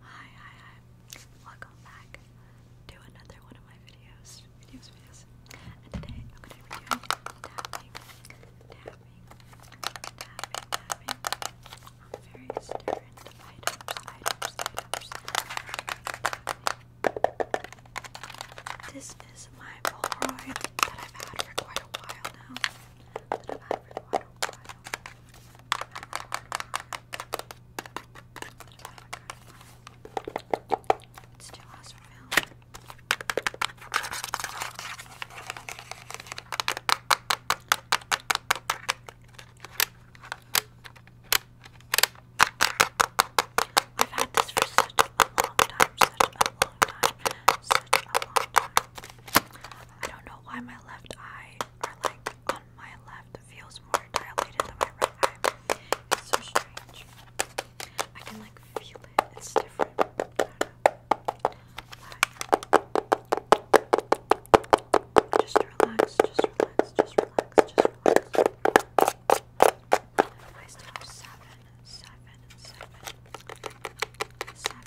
Hi, hi, hi. Welcome back to another one of my videos. Videos, videos. And today I'm going to be doing tapping, tapping, tapping, on various different items, items, items. This is my Polaroid that I've had for quite a while now. That I've had for quite a while. It's too awesome milk. I've had this for such a long time, such a long time, such a long time. I don't know why my left eye, or like my left feels more dilated than my right It's so strange. I can like feel it. It's different. Just relax. Just relax. Just relax. Just relax. I still seven, seven, seven, seven, seven,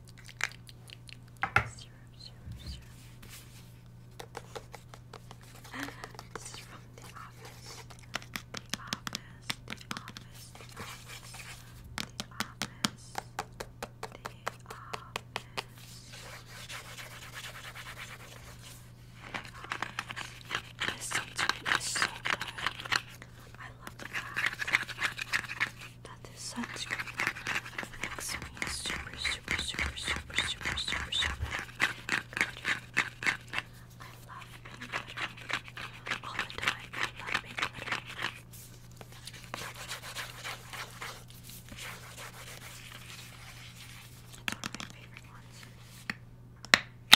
Syrup, syrup, This is from the office. The office, the office, the office, the office, the office. This is so good. I love the that this sunscreen makes me super, super, super, super, super, super, super good. I love pink glitter all the time. I love pink glitter. It's one of my favorite ones.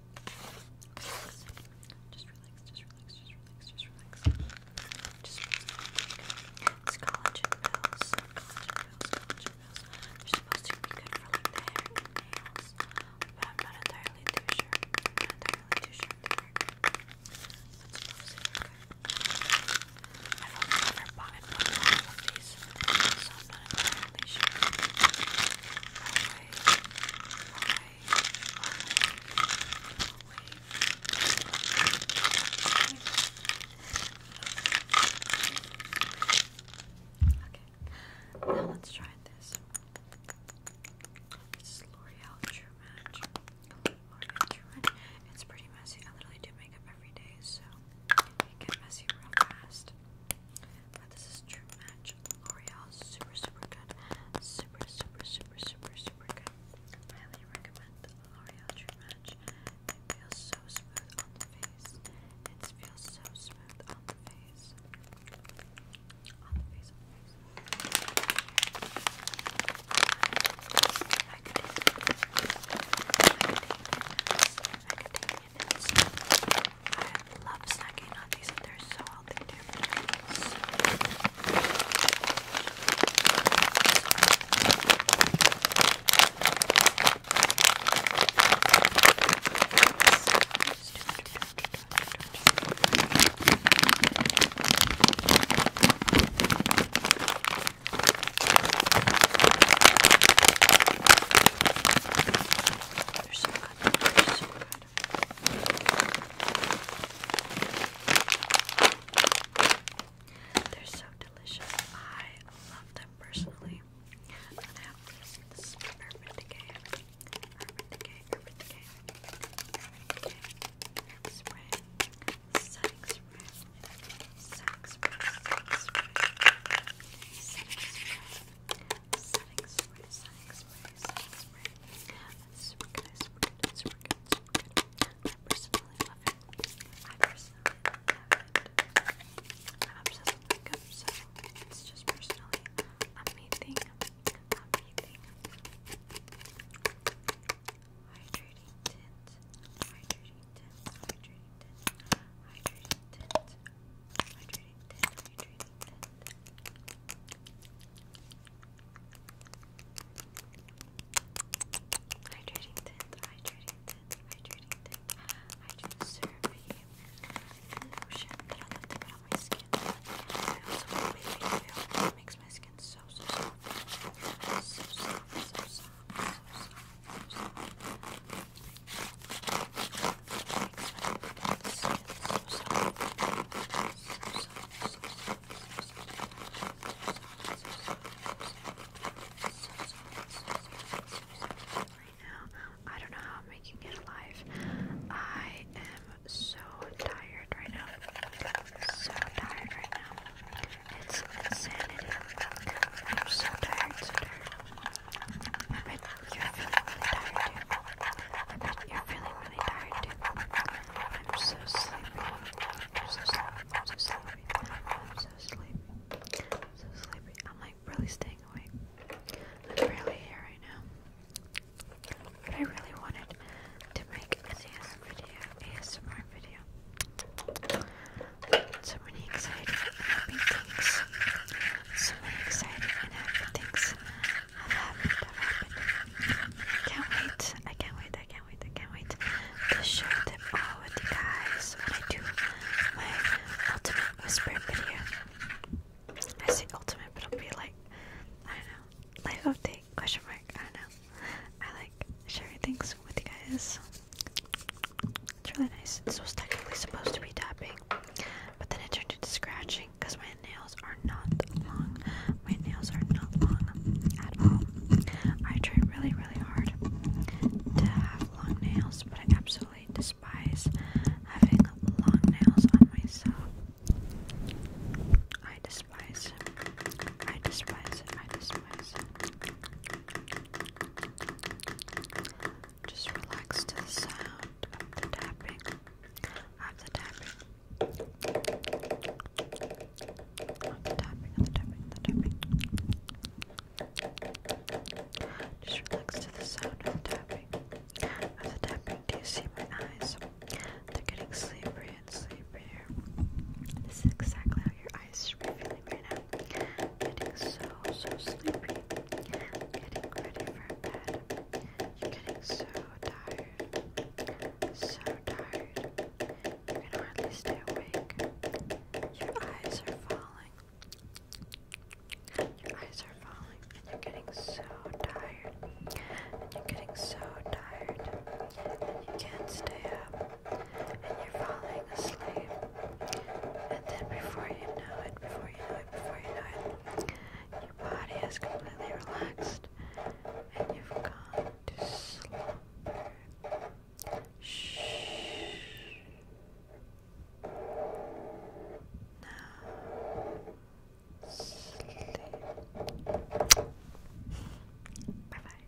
Just relax, just relax, just relax, just relax. Just relax. It's collagen pills. Collagen pills, collagen are supposed to be good for like the hair and nails. But I'm not entirely too sure. not entirely too sure Let's close it, I've only ever and put a of these. I'm Okay, now let's try this. This is L'Oreal True Match. It's pretty messy. I literally do makeup every day, so it gets messy real fast. But this is True Match L'Oreal. Super, super good. Super, super, super, super, super good. Highly recommend the L'Oreal True Match. It feels so smooth on the face. It feels so smooth on the face. On the face, on the face. I could take I could take I could take I love snacking on these and they're so healthy too. They're so good. They're so good. They're so delicious. I love them personally. And I have this, Urban Decay. Urban Decay, Urban Decay. Urban Spray. Setting spray sex sex super good, super good, super good, super good. I personally love it. I personally love it. I'm obsessed with makeup, so it's just personally amazing, amazing. Hydrating tint, hydrating tint, hydrating tint, hydrating tint, hydrating tint, hydrating tint. Hydrating tint, hydrating tint, hydrating tint. Hydrating survey. lotion I love to put on my skin. I makes my skin so, so So so soft. I don't know how I'm making it live. I am so tired right now. So tired right now. It's insanity. i so tired. I you're feeling really tired. I you're feeling really tired too. I'm so sleepy. I'm so sleepy. I'm so sleepy. I'm so sleepy. I'm like really staying awake. I'm barely here right now. But I really wanted to make an ASMR video. So many exciting and happy things. So many exciting and happy things have happened, have happened. I can't wait, I can't wait, I can't wait, I can't wait to share them all with you guys when I do my ultimate whisper video. I say ultimate, but it'll be like, I don't know, life update, question mark, I don't know. I like sharing things with you guys. It's really nice. This was technically supposed to be tapping, but then it turned into scratching because my nails are not long. My nails are not long at all. I try really, really hard to have long nails, but I absolutely despise having long nails on myself. I despise I despise I despise just relax to the sound of the tapping. Of the tapping. the tapping, of the tapping, the tapping. Just relax to the sound of the tapping. Of the tapping. Do you see my eyes? They're getting sleepy and sleepier. This is exactly how your eyes are feeling right now. I'm getting so, so sleepy. Getting ready for bed. You're getting so tired. So tired. can hardly stay awake. Your eyes are falling. Your eyes are falling, and you're getting so tired. And you're getting so tired. you can't stay up and you're falling asleep. And then before you know it, before you know it, before you know it, your body is completely relaxed and you've gone to slumber. Shh. Now, sleep. Bye bye.